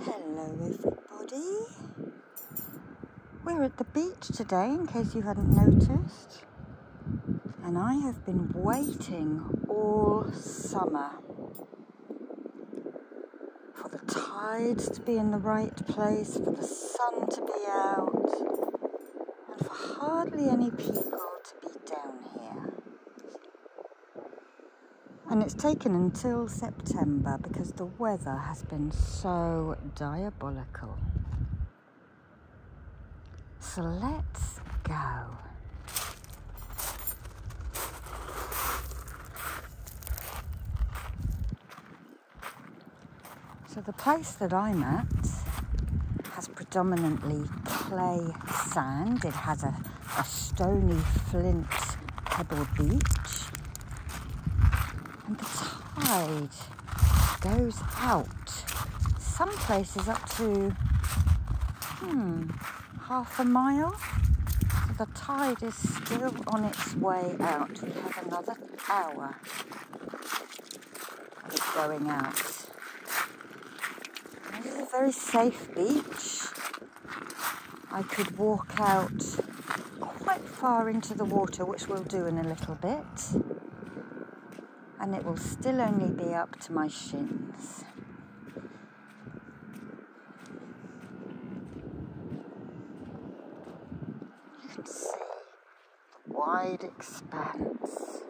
Hello, everybody. We're at the beach today, in case you hadn't noticed. And I have been waiting all summer for the tides to be in the right place, for the sun to be out, and for hardly any people to be down here. And it's taken until September because the weather has been so diabolical. So let's go. So the place that I'm at has predominantly clay sand. It has a a stony flint pebble beach. And the tide goes out, some places up to hmm, half a mile. the tide is still on its way out. We have another hour of going out. This is a very safe beach. I could walk out quite far into the water, which we'll do in a little bit, and it will still only be up to my shins. You can see the wide expanse.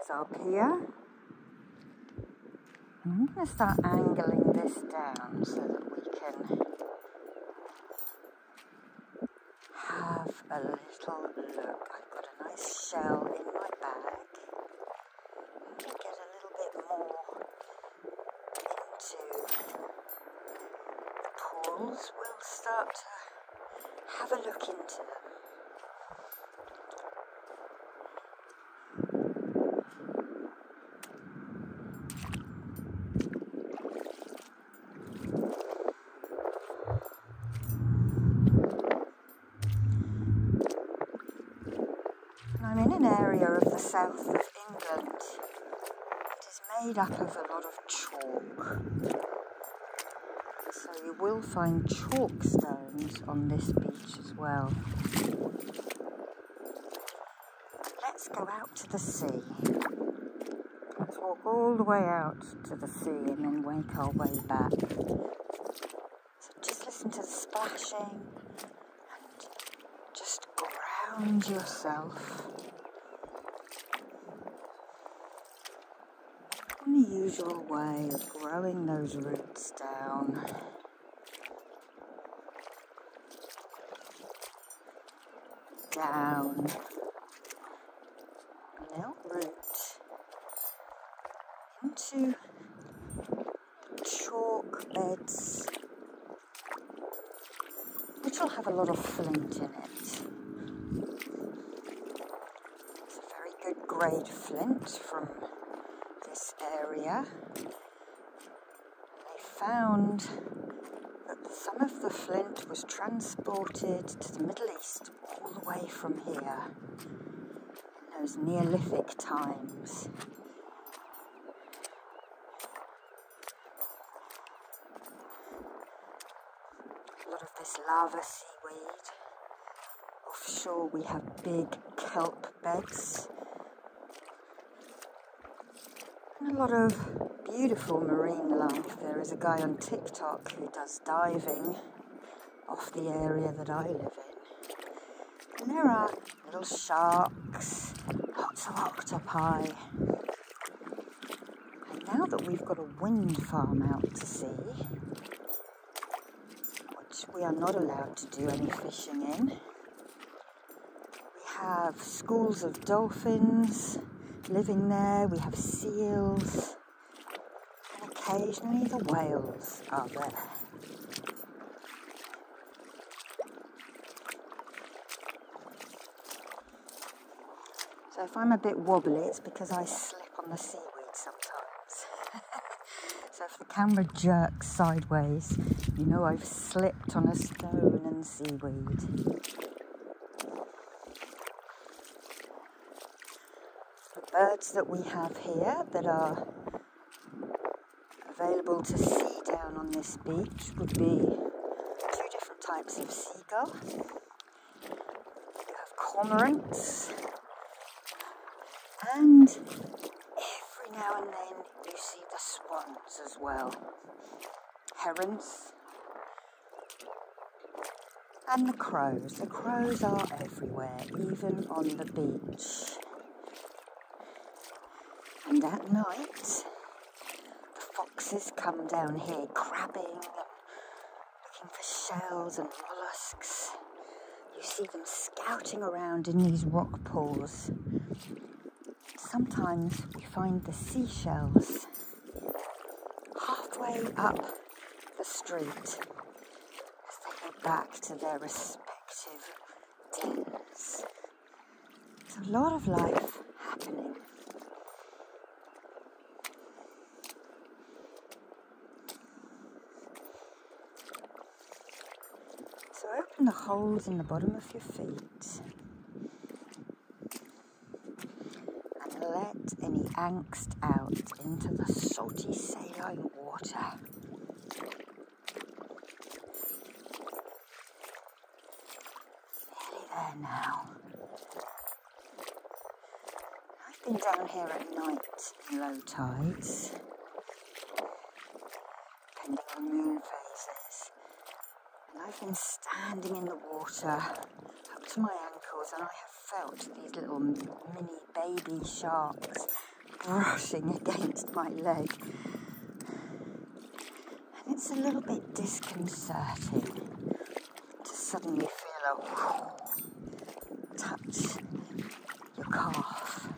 as our pier, I'm going to start angling this down so that we can have a little look. I've got a nice shell in my bag. I'm going to get a little bit more into the corals. We'll start to have a look into them. I'm in an area of the south of England that is made up of a lot of chalk. So you will find chalk stones on this beach as well. Let's go out to the sea. Let's walk all the way out to the sea and then wake our way back. So just listen to the splashing and just ground yourself. In the usual way of growing those roots down down. Now into chalk beds, which will have a lot of flint in it. It's a very good grade flint from this area, they found that some of the flint was transported to the Middle East all the way from here in those Neolithic times. A lot of this lava seaweed. Offshore, we have big kelp beds. a lot of beautiful marine life. There is a guy on TikTok who does diving off the area that I live in. And there are little sharks, lots of octopi. And now that we've got a wind farm out to sea, which we are not allowed to do any fishing in. We have schools of dolphins living there, we have seals, and occasionally the whales are there. So if I'm a bit wobbly, it's because I slip on the seaweed sometimes. So if the camera jerks sideways, you know I've slipped on a stone and seaweed. The birds that we have here that are available to see down on this beach would be two different types of seagull. You have cormorants, and every now and then you see the swans as well. Herons. And the crows. The crows are everywhere, even on the beach. And at night, the foxes come down here crabbing and looking for shells and mollusks. You see them scouting around in these rock pools. Sometimes we find the seashells halfway up the street as they go back to their respective dens. It's a lot of life happening. So open the holes in the bottom of your feet. And let any angst out into the salty saline water. Nearly there now. I've been down here at night tides low tides, depending on moon phases. I've been standing in the water up to my ankles and I have felt these little mini baby sharks brushing against my leg. And it's a little bit disconcerting to suddenly feel a touch your calf.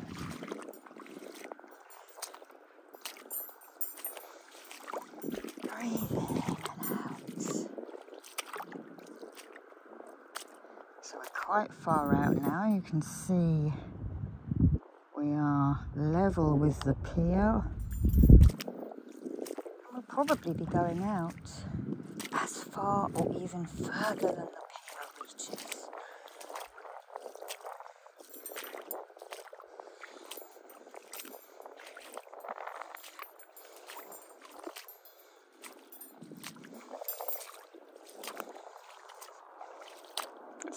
Breathe in and out. So we're quite far out now. You can see we are level with the pier. We'll probably be going out as far or even further than the pier Let's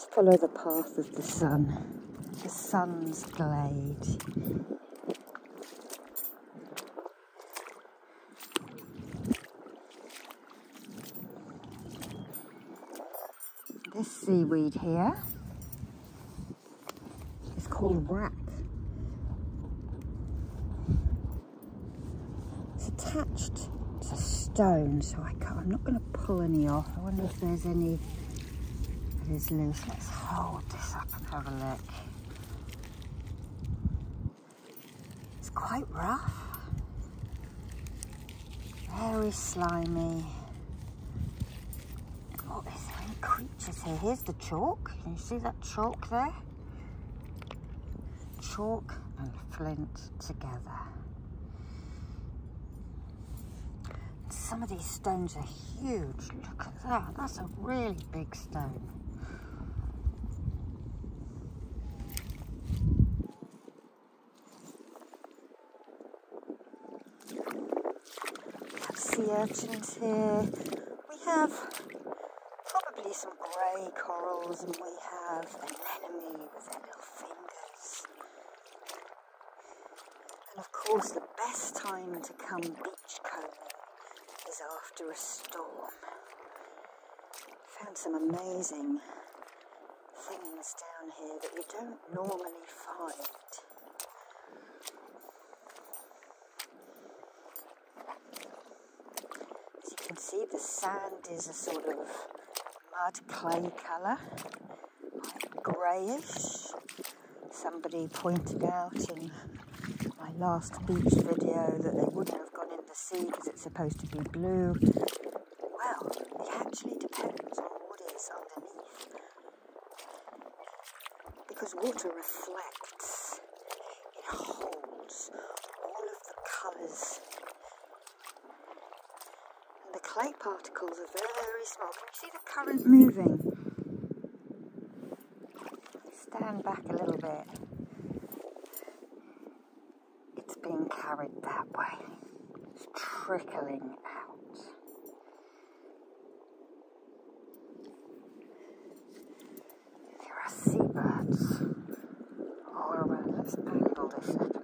follow the path of the sun, the sun's glade. This seaweed here is called wrack. It's attached to stone, so I am not going to pull any off. I wonder if there's any It is loose. Let's hold this up and have a look. It's quite rough, very slimy. What oh, is there? creatures here? Here's the chalk. Can you see that chalk there? Chalk and flint together. Some of these stones are huge. Look at that. That's a really big stone. We Have sea urchins here. We have probably some grey corals, and we have anemone with their little fingers. And of course, the best time to come beachcombing is after a storm. Found some amazing things down here that you don't normally find. As you can see, the sand is a sort of mud clay colour, greyish. Somebody pointed out in my last beach video that they wouldn't have gone in the sea because it's supposed to be blue. Well, it actually depends on what is underneath. Because water reflects, it holds all of the colours. And the clay particles are very, very small. Can you see the current moving? Stand back a little bit. It's being carried that way. It's trickling out. There are seabirds all around. Let's angle this up a little bit.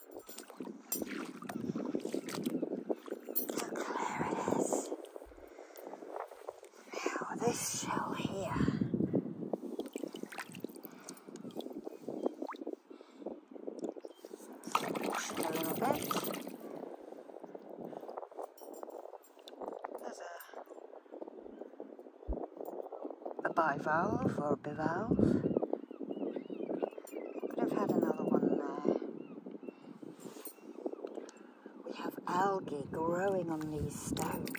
Look where it is. Now this shell here. a There's bivalve or bivalve. Could have had another one there. We have algae growing on these stones.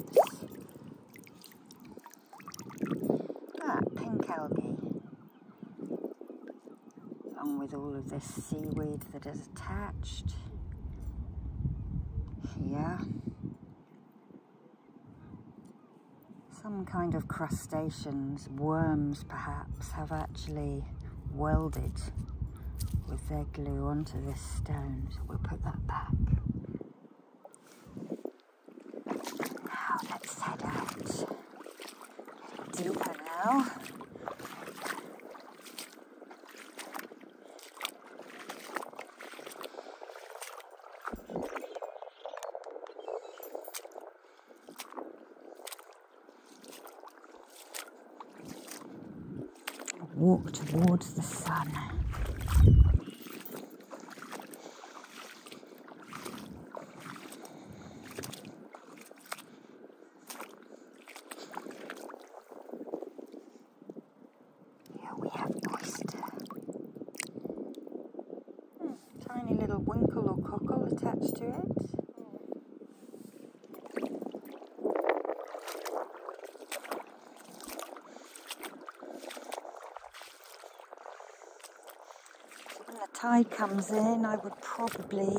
That ah, pink algae. Along with all of this seaweed that is attached. Here. Some kind of crustaceans, worms perhaps, have actually welded with their glue onto this stone. So we'll put that back. Now let's head out. Getting deeper now. Walk towards the sun. Here we have oyster. Tiny little winkle or cockle attached to it. When the tide comes in, I would probably,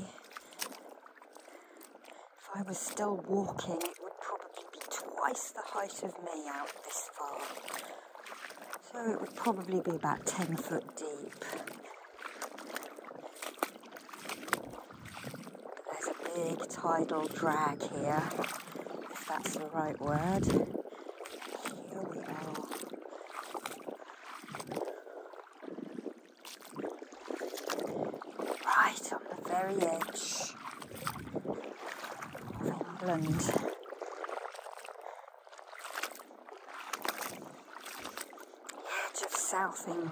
if I was still walking, it would probably be twice the height of me out this far. So it would probably be about 10 foot deep. There's a big tidal drag here, if that's the right word. Here we are. Right on the very edge of England edge of South England.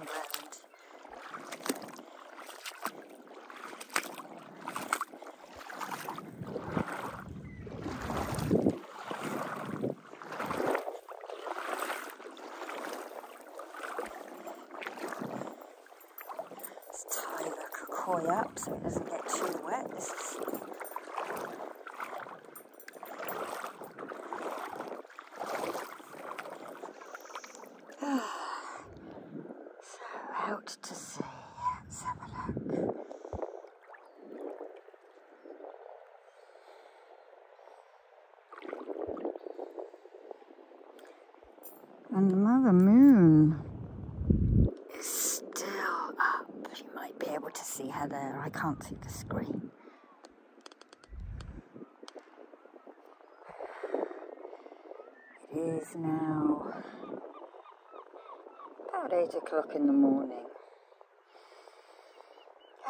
Let's tie the koi up so it doesn't get too wet. so out to sea. Let's have a look. And Mother Moon is still up. You might be able to see her there. I can't see the screen. It is now about 8 o'clock in the morning.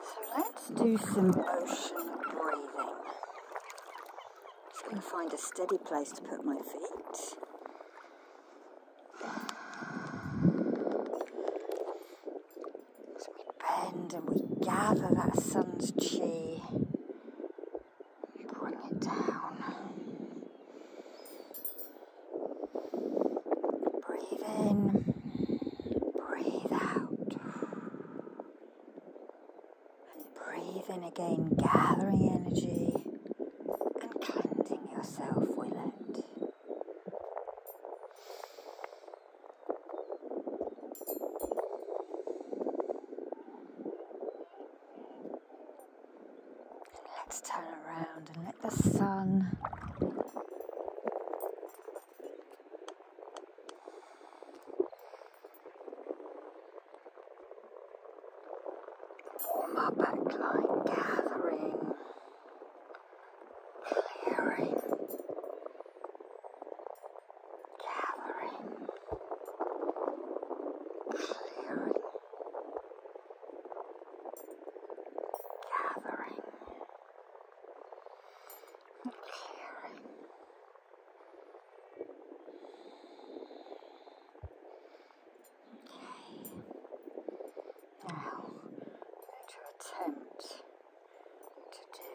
so let's do some ocean breathing. Just going to find a steady place to put my feet. So we bend and we gather that sun's chi. Bring it down. Breathe in. Breathe out. And breathe in again, gathering energy and cleansing yourself with it. let's turn around and let the sun Former backline gathering, clearing, gathering, clearing, gathering, clearing. Okay. Now, I'm going to attempt to do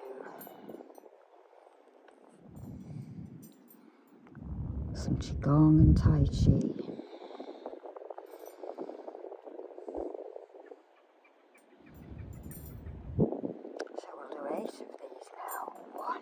some Qigong and Tai Chi. So we'll do eight of these now. One.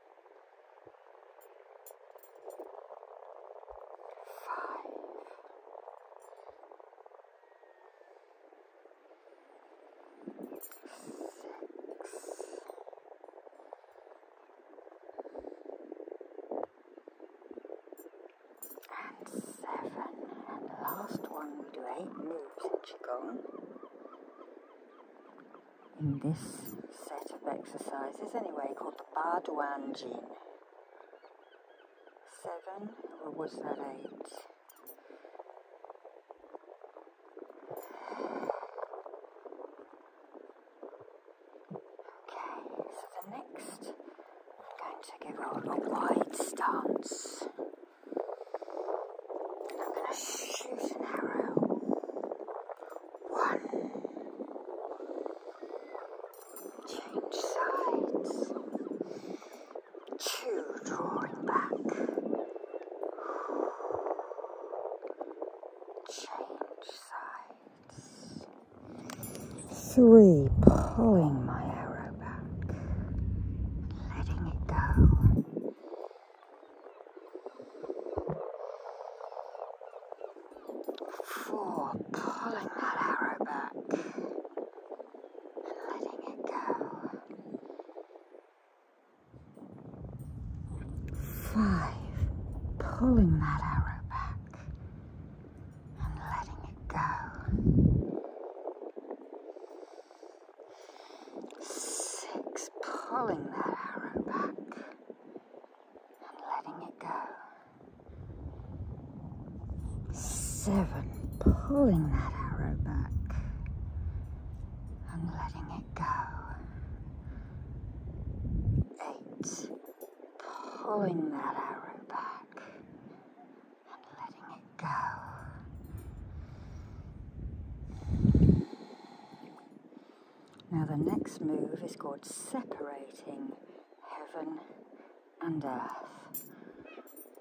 Five. Six. And seven. And last one, we do eight moves in Qigong in this set of exercises anyway called the Bardwan Jin. Seven, or was that eight? Okay, so the next I'm going to give a wide stance. And I'm going to shoot an arrow. One. Change sides. Two drawing back. Change sides. Three pulling my arrow back. Letting it go for pulling that arrow back and letting it go. Five, pulling that arrow back and letting it go. Six, pulling that arrow back letting it go. Seven, pulling that arrow back and letting it go. Eight, pulling that arrow back and letting it go. Now, the next move is called separating heaven and earth. One, two, three,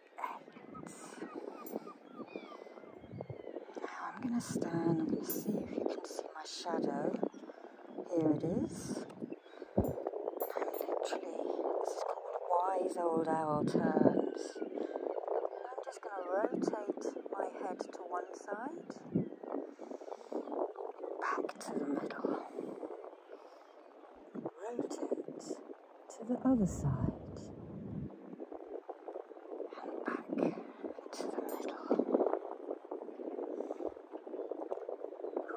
Now I'm going to stand, I'm going to see if you can see my shadow. Here it is. I'm literally, this is called wise old owl turns. I'm just going to rotate my head to one side, back to the middle. Rotate to the other side and back to the middle.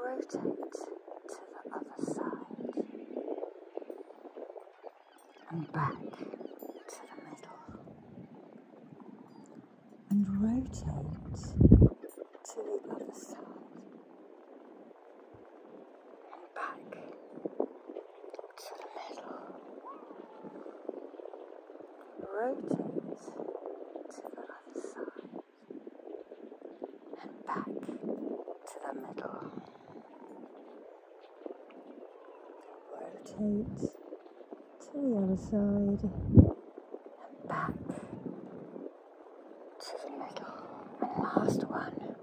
Rotate to the other side and back to the middle. And rotate to the other side and back to the middle. Rotate to the other side and back to the middle. Rotate to the other side and back to the middle, and last one,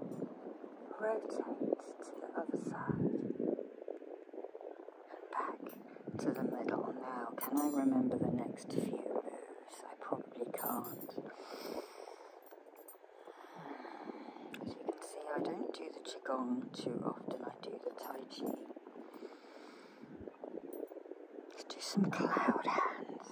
rotate to the other side, and back to the middle. Now, can I remember the next few moves? I probably can't. As you can see, I don't do the Qigong too often, I do the Tai Chi. Let's do some cloud hands.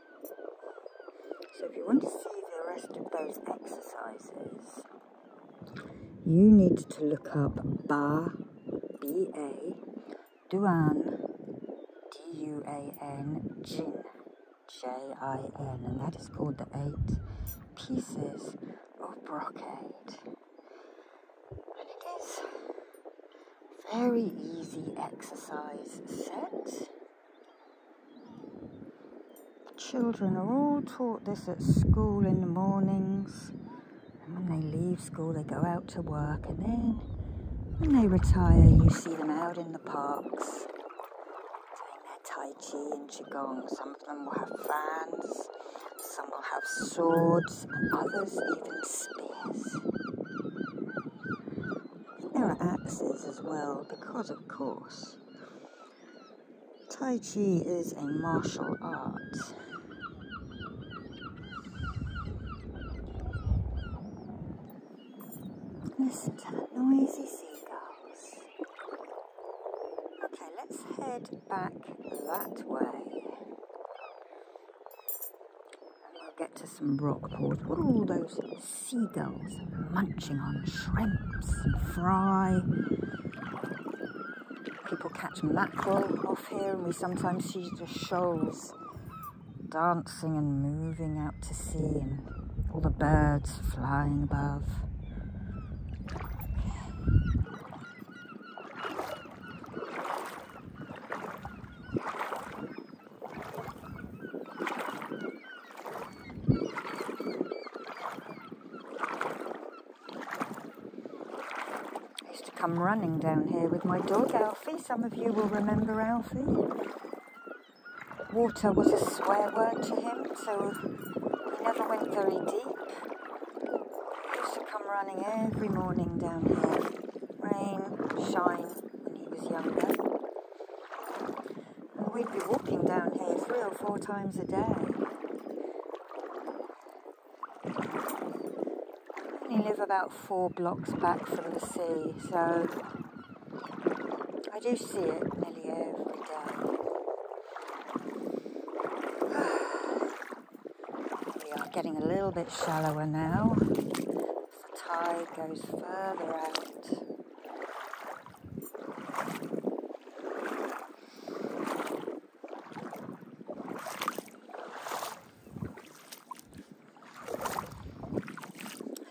So if you want to see the rest of those exercises, you need to look up Ba, B-A, Duan, D-U-A-N, Jin, J-I-N, that is called the Eight Pieces of Brocade. it is very easy exercise set. Children are all taught this at school in the mornings. And when they leave school, they go out to work. And then when they retire, you see them out in the parks doing their Tai Chi and Qigong. Some of them will have fans, some will have swords, others even spears. There are axes as well, because of course. Tai Chi is a martial art. Listen to the noisy seagulls. Okay, let's head back that way. And will get to some rock pools. What are all those seagulls munching on shrimps and fry. People catch mackerel off here, and we sometimes see the shoals dancing and moving out to sea, and all the birds flying above. I used to come running down here with my dog Alfie. Some of you will remember Alfie. Water was a swear word to him, so he never went very deep Used to come running every morning down here. Rain, shine, when he was younger. We'd be walking down here three or four times a day. We live about four blocks back from the sea, so I do see it nearly every day. we are getting a little bit shallower now the tide goes further out. I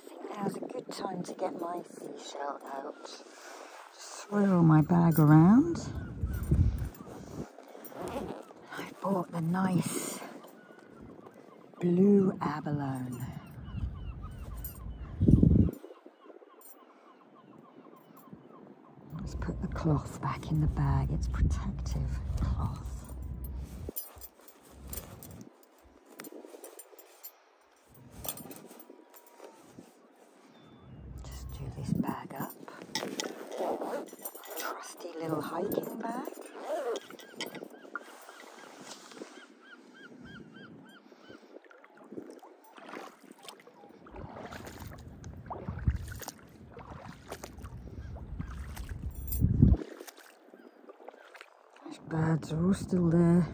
think now's a good time to get my seashell out. Just swirl my bag around. I bought the nice blue abalone. Let's put the cloth back in the bag, it's protective cloth. Just do this bag up. Trusty little hiking bag. These birds are all still there.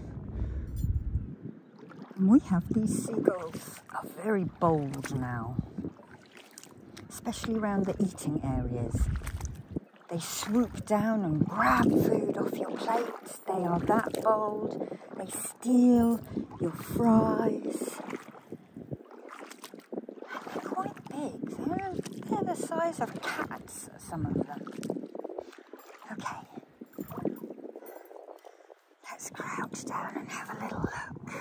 And we have these seagulls are very bold now, especially around the eating areas. They swoop down and grab food off your plates. They are that bold. They steal your fries. they're quite big. They're, the size of cats, some of them. Okay. Let's crouch down and have a little look.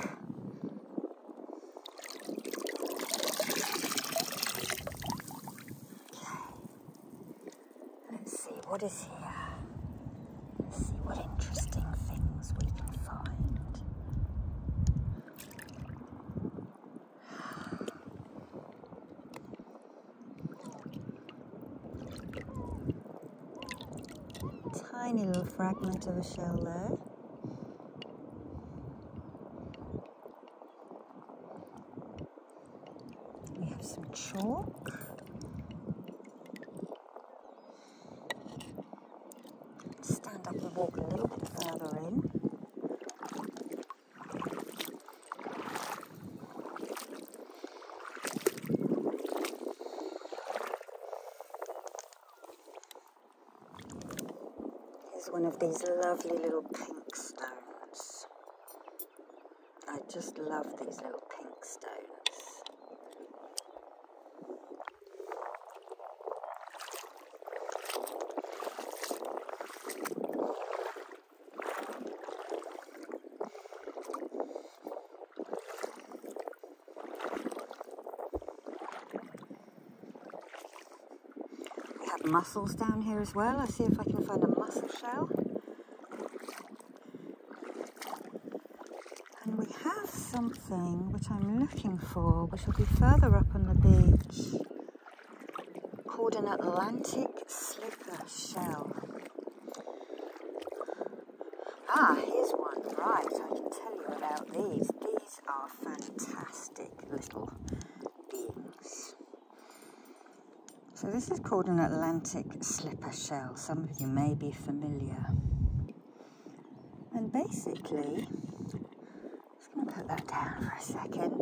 Let's see what is here. Let's see what interesting things we can find. Tiny little fragment of a shell there. We have some chalk. Stand up and walk a little bit further in. Here's one of these lovely little pink stones. I just love these little pink stones. We have mussels down here as well. I'll see if I can find a mussel shell. And we have something which I'm looking for, which will be further up on the beach, called an Atlantic slipper shell. Ah, here's one. Right, I can tell you about these. These are fantastic little beings. So this is called an Atlantic slipper shell. Some of you may be familiar. And basically, just going to put that down for a second.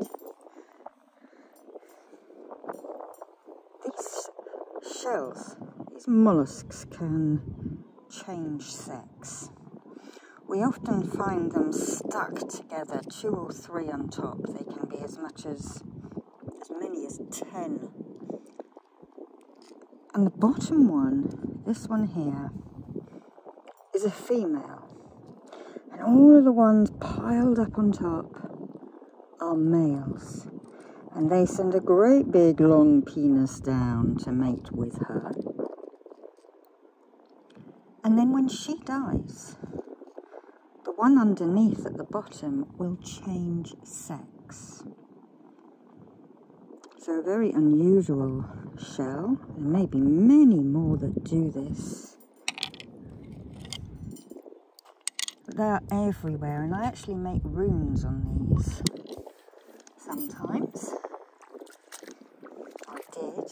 These shells, these mollusks can change sex. We often find them stuck together, two or three on top. They can be as much as as many as ten. And the bottom one, this one here, is a female. And all of the ones piled up on top are males. And they send a great big long penis down to mate with her. And then when she dies, the one underneath at the bottom will change sex. So, a very unusual shell. There may be many more that do this. they are everywhere, and I actually make runes on these sometimes. I did.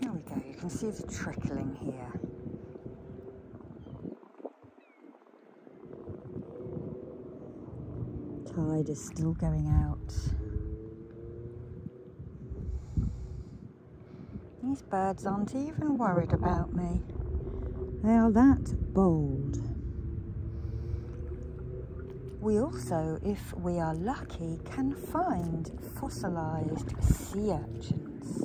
There we go, you can see the trickling here. Tide is still going out. These birds aren't even worried about me. They are that bold. We also, if we are lucky, can find fossilised sea urchins.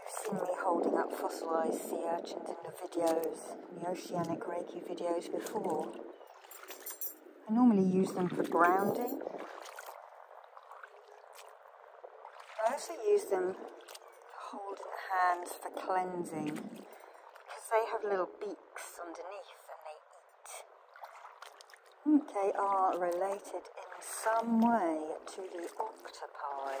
You've seen me holding up fossilised sea urchins in the videos, in the oceanic reiki videos before. I normally use them for grounding I also use them to hold in the hands for cleansing because they have little beaks underneath and they eat. they are related in some way to the octopi.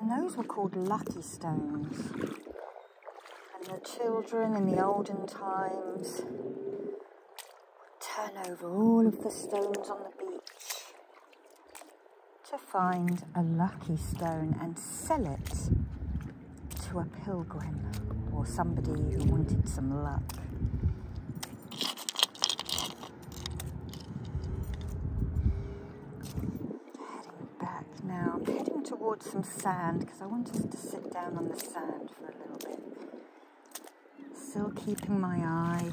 And those were called lucky stones and the children in the olden times would turn over all of the stones on the beach to find a lucky stone and sell it to a pilgrim or somebody who wanted some luck. Heading back now, heading towards some sand because I want us to sit down on the sand for a little bit. Still keeping my eye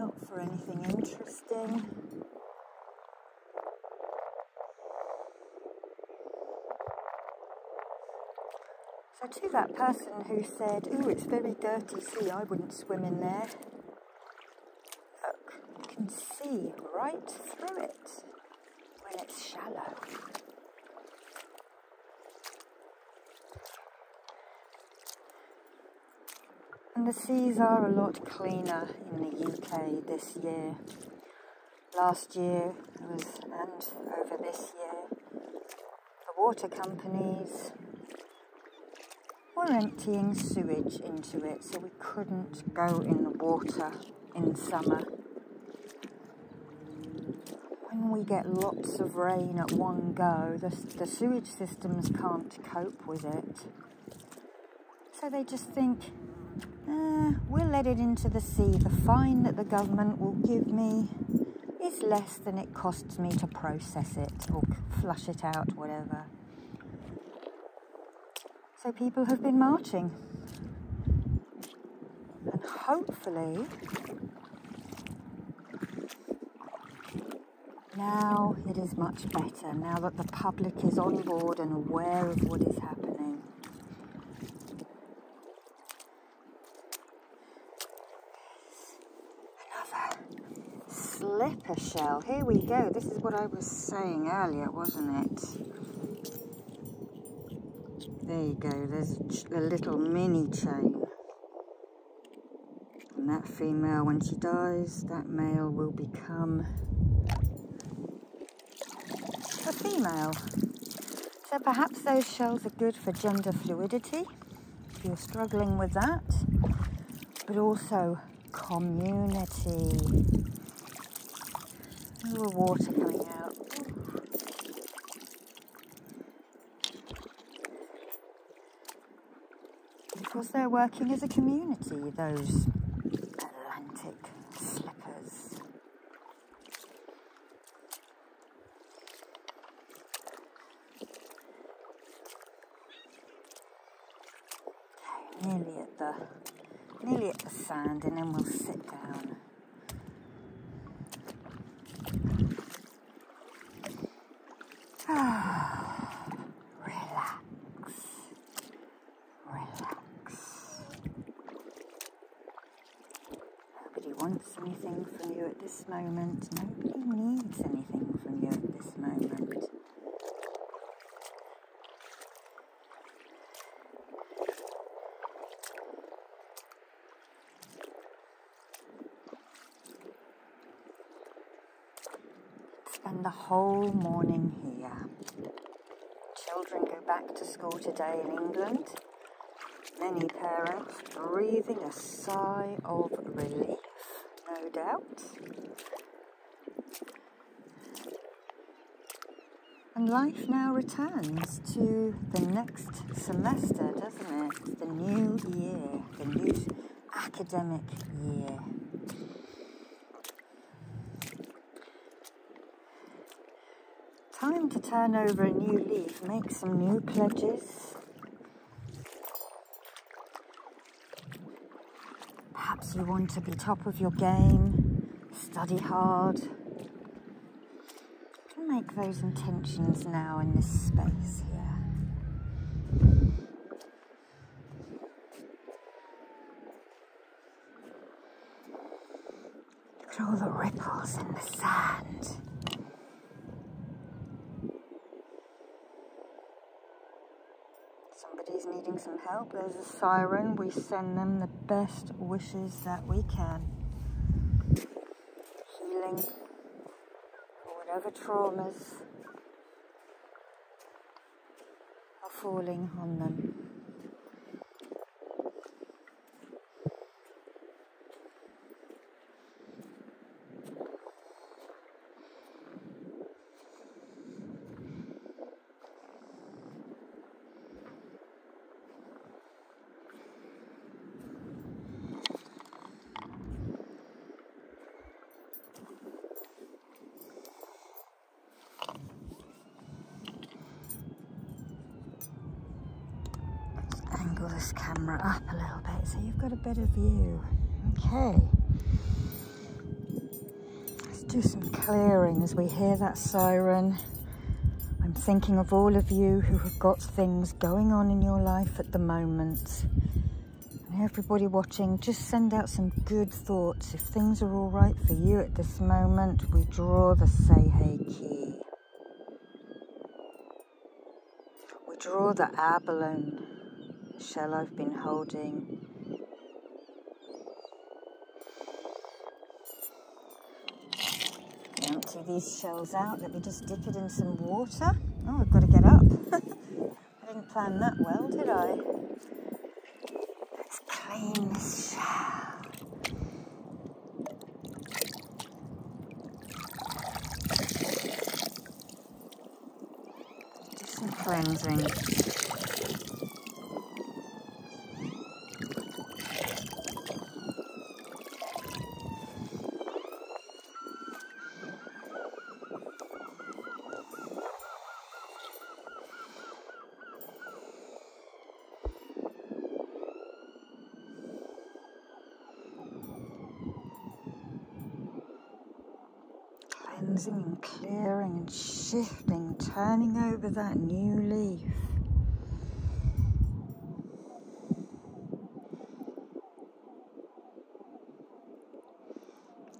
out for anything interesting. So to that person who said, "Oh, it's very dirty sea. I wouldn't swim in there." Look, you can see right through it when it's shallow. And the seas are a lot cleaner in the UK this year. Last year was, and over this year, the water companies we're emptying sewage into it, so we couldn't go in the water in summer. When we get lots of rain at one go, the, the sewage systems can't cope with it. So they just think, eh, we'll let it into the sea. The fine that the government will give me is less than it costs me to process it or flush it out, whatever. So people have been marching. And hopefully, now it is much better, now that the public is on board and aware of what is happening. Another slipper shell. Here we go. This is what I was saying earlier, wasn't it? There you go. There's a little mini chain. And that female, when she dies, that male will become a female. So perhaps those shells are good for gender fluidity if you're struggling with that, but also community. Ooh, water coming out. Because they're working as a community, those Atlantic slippers nearly at the nearly at the sand and then we'll sit down. relax, relax. Nobody wants anything from you at this moment. Nobody needs anything from you at this moment. Spend the whole morning here. Children go back to school today in England. Many parents breathing a sigh of relief, no doubt. And life now returns to the next semester, doesn't it? The new year, the new academic year. Time to turn over a new leaf, make some new pledges, Perhaps you want to be top of your game, study hard. make those intentions now in this space here. Look at all the ripples in the sand. Somebody's needing some help. There's a siren. We send them the best wishes that we can. Healing or whatever traumas are falling on them angle this camera up a little bit so you've got a better view. Okay. Let's do some clearing as we hear that siren. I'm thinking of all of you who have got things going on in your life at the moment. everybody watching, just send out some good thoughts. If things are all right for you at this moment, we draw the Seihei key. We draw the abalone shell I've been holding Empty these shells out. Let me just dip it in some water. Oh, I've got to get up. I didn't plan that well, did I? Let's clean this shell. Do some cleansing. Cleansing and clearing and shifting, turning over that new leaf.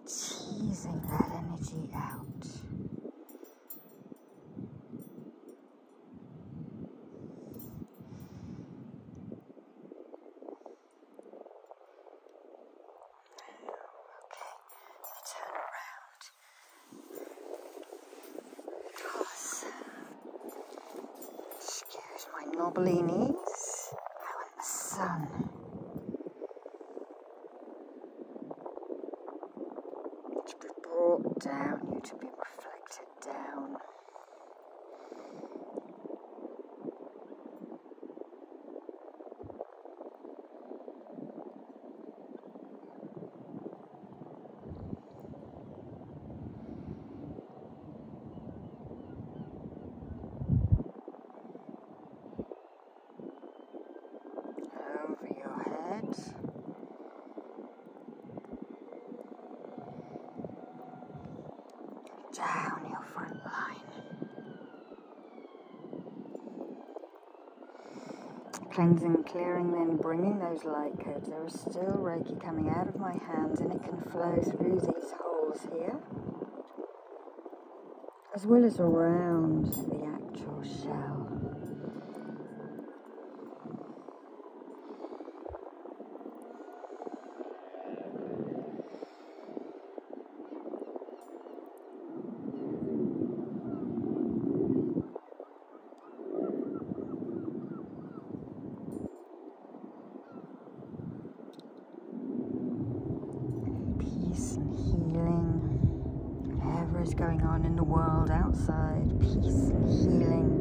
Teasing that energy out. Okay, turn around. Excuse my knobbly knees. I want the sun. To be brought down, you to be reflected down over your head. Down your front line. Cleansing, clearing, then bringing those light codes. There is still Reiki coming out of my hands and it can flow through these holes here as well as around the actual shell. Peace and healing. Whatever is going on in the world outside, peace and healing.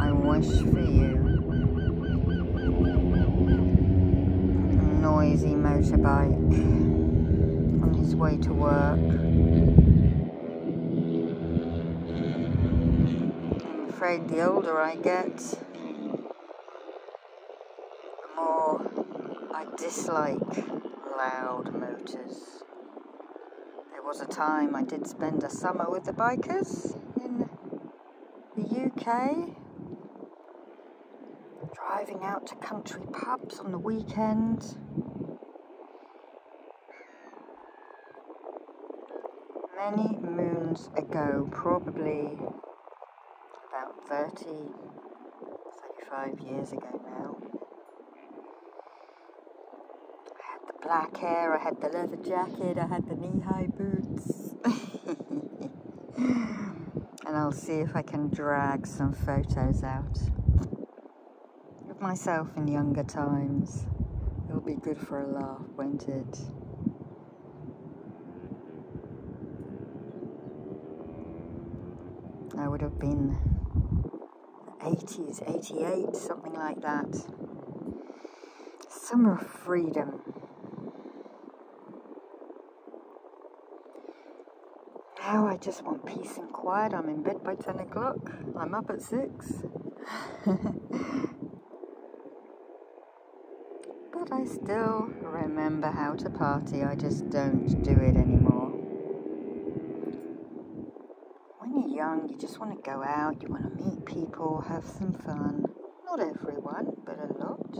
I wish for you noisy motorbike on his way to work. I'm afraid the older I get, the more I dislike loud motors. There was a time I did spend a summer with the bikers in the UK, driving out to country pubs on the weekend. Many moons ago, probably about 30, 35 years ago now, I had the black hair, I had the leather jacket, I had the knee high boots. and I'll see if I can drag some photos out of myself in younger times. It'll be good for a laugh, won't it? I would have been 80s, 88, something like that. Summer of freedom. Now I just want peace and quiet. I'm in bed by 10 o'clock. I'm up at 6. but I still remember how to party. I just don't do it anymore. When you're young, you just want to go out, you want to meet people, have some fun. Not everyone, but a lot.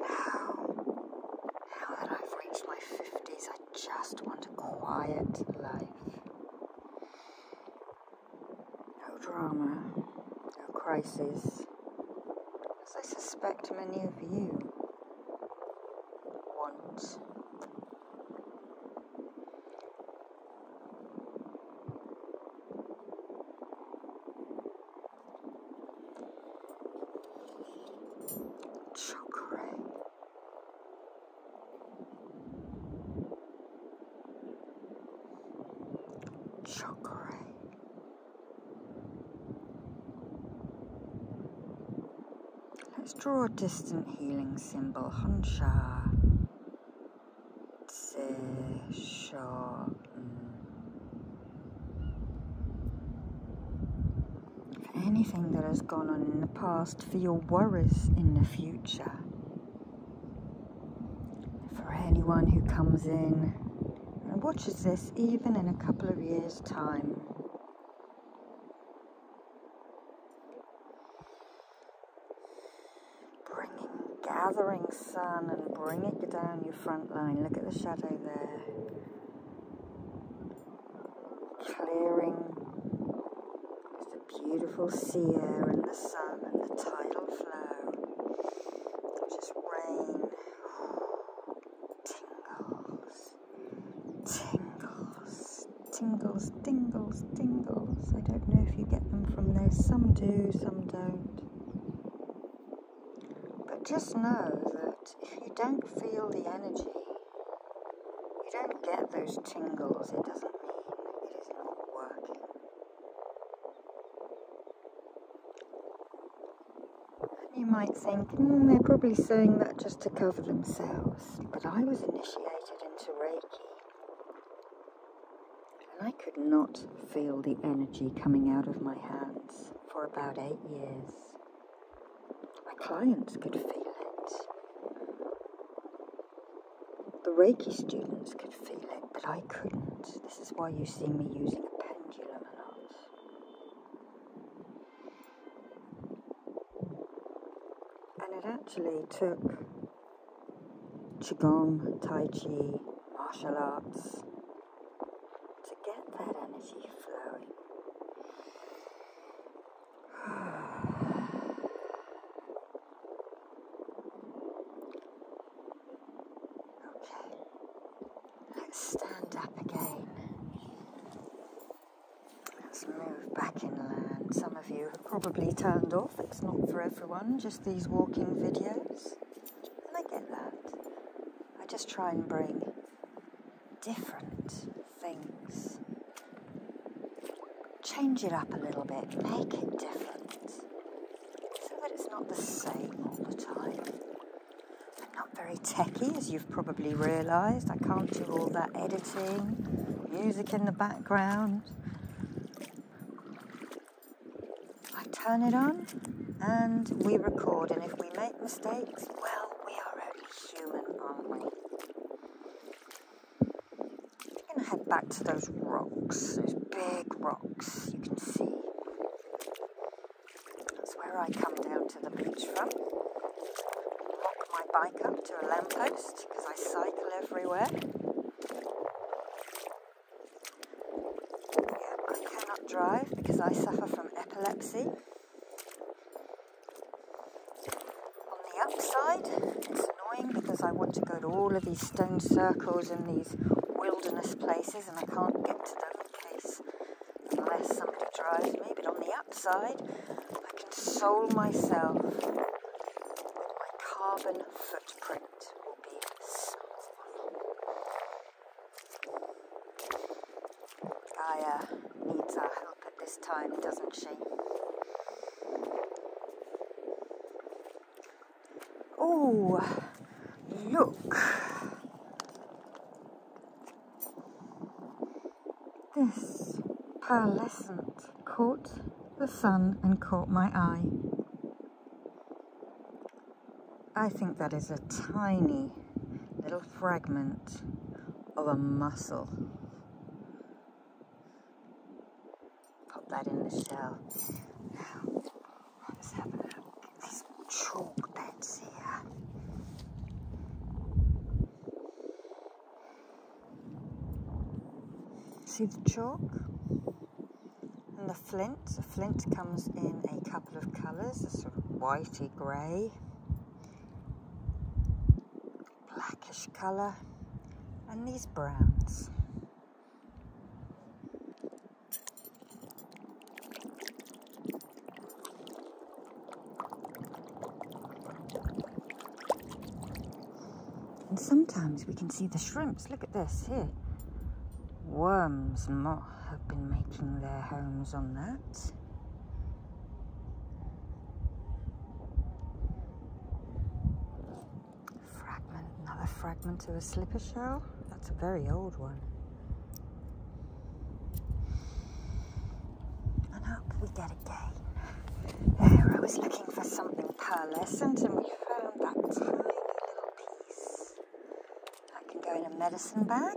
Now, now that I've reached my 50s, I just want a quiet life. No drama, no crisis, as I suspect many of you want. So great. Let's draw a distant healing symbol, Hansha session. For anything that has gone on in the past, for your worries in the future, for anyone who comes in and watches this even in a couple of years' time. Bringing, gathering sun and bring it down your front line. Look at the shadow there. Clearing the beautiful sea air and the sun and the tidal flow. Just rain. Tingles, tingles, tingles, tingles, tingles. I don't know if you get them from there. Some do, some don't. But just know that if you don't feel the energy, you don't get those tingles. It doesn't mean it is not working. You might think, hmm, they're probably saying that just to cover themselves. But I was initiated into Reiki and I could not feel the energy coming out of my hands for about eight years. My clients could feel it. The Reiki students could feel it, but I couldn't. This is why you see me using a pendulum a lot. And it actually took Qigong, Tai Chi, martial arts, to get that energy flowing. okay, let's stand up again. Let's move back inland. Some of you have probably turned off, it's not for everyone, just these walking videos. And I that. I just try and bring different things. Change it up a little bit, make it different. So that it's not the same all the time. I'm not very techy, as you've probably realised. I can't do all that editing, music in the background. I turn it on and we record, and if we make mistakes, well, we are only human, aren't we? I'm going to head back to those rocks, those big rocks you can see. That's where I come down to the beach from. Lock my bike up to a lamppost because I cycle everywhere. I cannot drive because I suffer from epilepsy. On the upside, it's annoying because I want to go to all of these stone circles and these wilderness places and I can't get to them in unless somebody drives me. But on the upside, console myself with my carbon footprint will be something. Uh, Gaia needs our help at this time, doesn't she? Oh, look. This pearlescent caught the sun and caught my eye. I think that is a tiny little fragment of a mussel. Pop that in the shell. Now, let's have a look at these chalk beds here. See the chalk and the flint. The flint comes in a couple of colours, a sort of whitey grey, blackish colour, and these browns. And sometimes we can see the shrimps. Look at this here. Worms not have been making their homes on that. Fragment, another fragment of a slipper shell. That's a very old one. And up we get there, I was looking for something pearlescent and we found that tiny little piece. I can go in a medicine bag.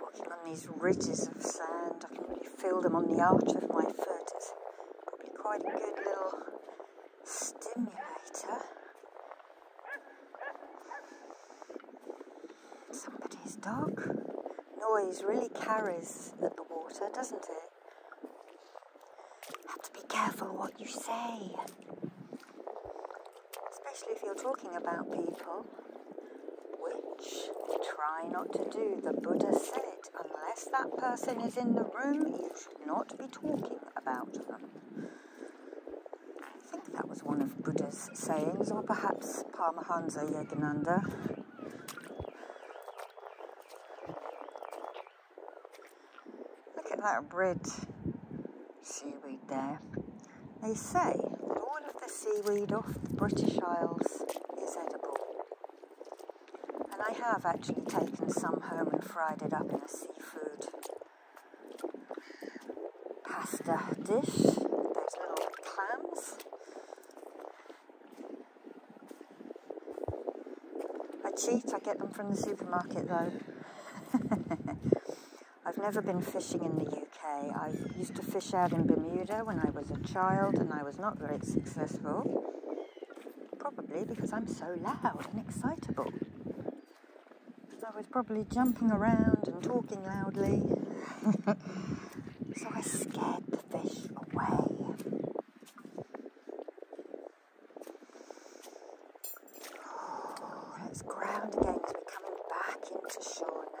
Walking on these ridges of sand, I can really feel them on the arch of my foot. It's probably quite a good little stimulator. Somebody's dog. Noise really carries at the water, doesn't it? have to be careful what you say. Especially if you're talking about people, which try not to do. The Buddha said Unless that person is in the room, you should not be talking about them. I think that was one of Buddha's sayings, or perhaps Paramahansa Yogananda. Look at that red seaweed there. They say that all of the seaweed off the British Isles is edible. And I have actually taken some home and fried it up in a sea food pasta dish. Those little clams. I cheat, I get them from the supermarket though. I've never been fishing in the UK. I used to fish out in Bermuda when I was a child and I was not very successful. Probably because I'm so loud and excitable. So I was probably jumping around and talking loudly. so I scared the fish away. Oh, ground again we're coming back into shore now.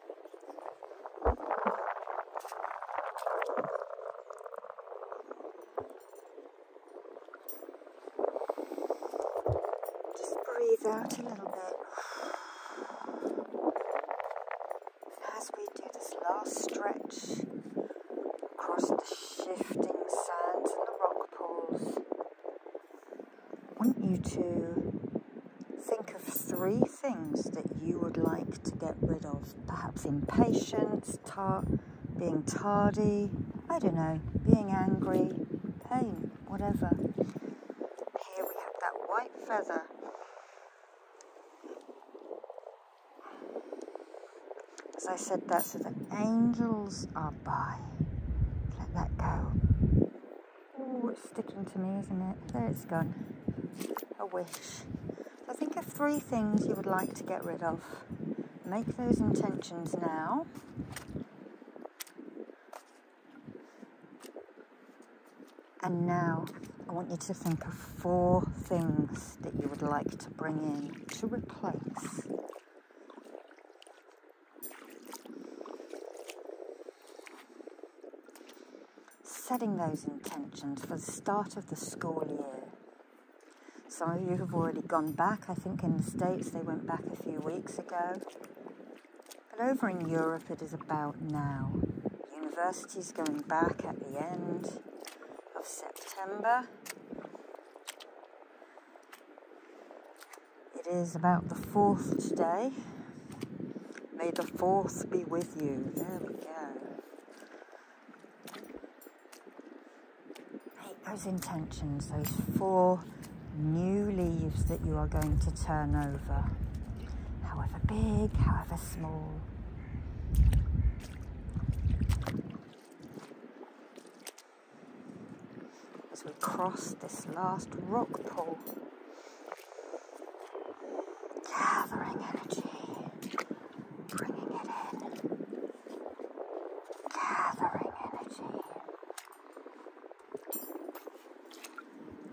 Just breathe out a little bit as we do this last stretch across the shifting sands and the rock pools. I want you to Think of three things that you would like to get rid of. Perhaps impatience, being tardy, I don't know, being angry, pain, whatever. Here we have that white feather. As I said, that so the angels are by. Let that go. Oh, it's sticking to me, isn't it? There it's gone. A wish. I think of three things you would like to get rid of. Make those intentions now. And now I want you to think of four things that you would like to bring in to replace setting those intentions for the start of the school year. Some of you have already gone back, I think in the States they went back a few weeks ago. But over in Europe it is about now. Universities going back at the end of September. It is about the 4th day. May the force be with you. There we go. those intentions, those four new leaves that you are going to turn over, however big, however small. As we cross this last rock pool, Gathering energy, bringing it in. Gathering energy.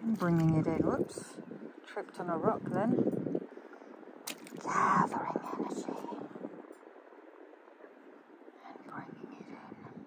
bringing it in. Whoops. Tripped on a rock then. Gathering energy. And bringing it in.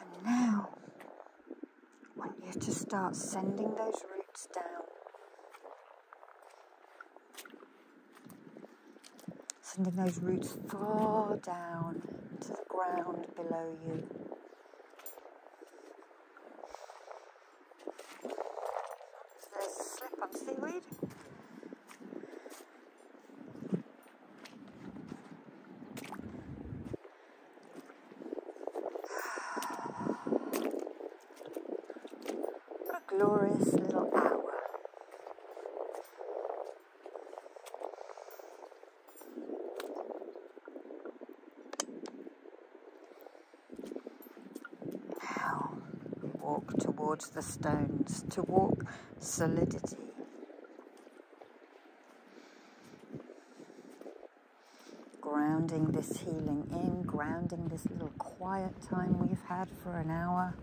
And now, I want you to start sending those roots down sending those roots far down to the ground below you. So there's slip on seaweed. What a glorious little hour. Walk towards the stones, to walk solidity. Grounding this healing in, grounding this little quiet time we've had for an hour.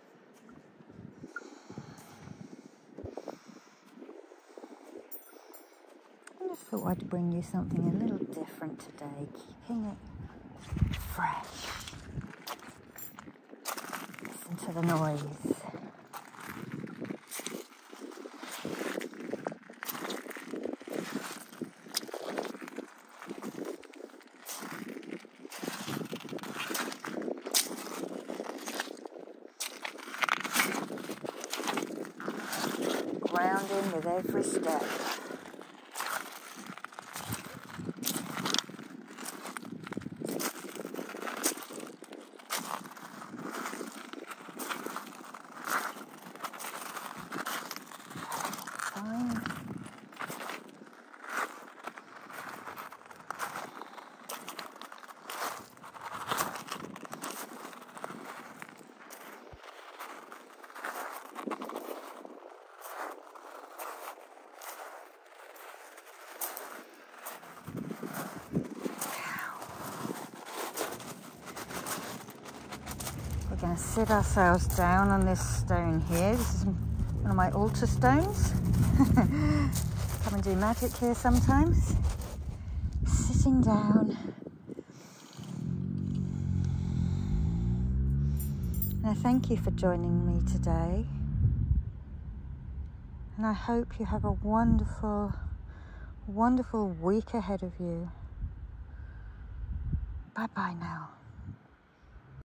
I just thought I'd bring you something a little different today, keeping it fresh. Listen to the noise. Grounding with every step. We're going to sit ourselves down on this stone here one of my altar stones. Come and do magic here sometimes. Sitting down. And I thank you for joining me today. And I hope you have a wonderful, wonderful week ahead of you. Bye bye now.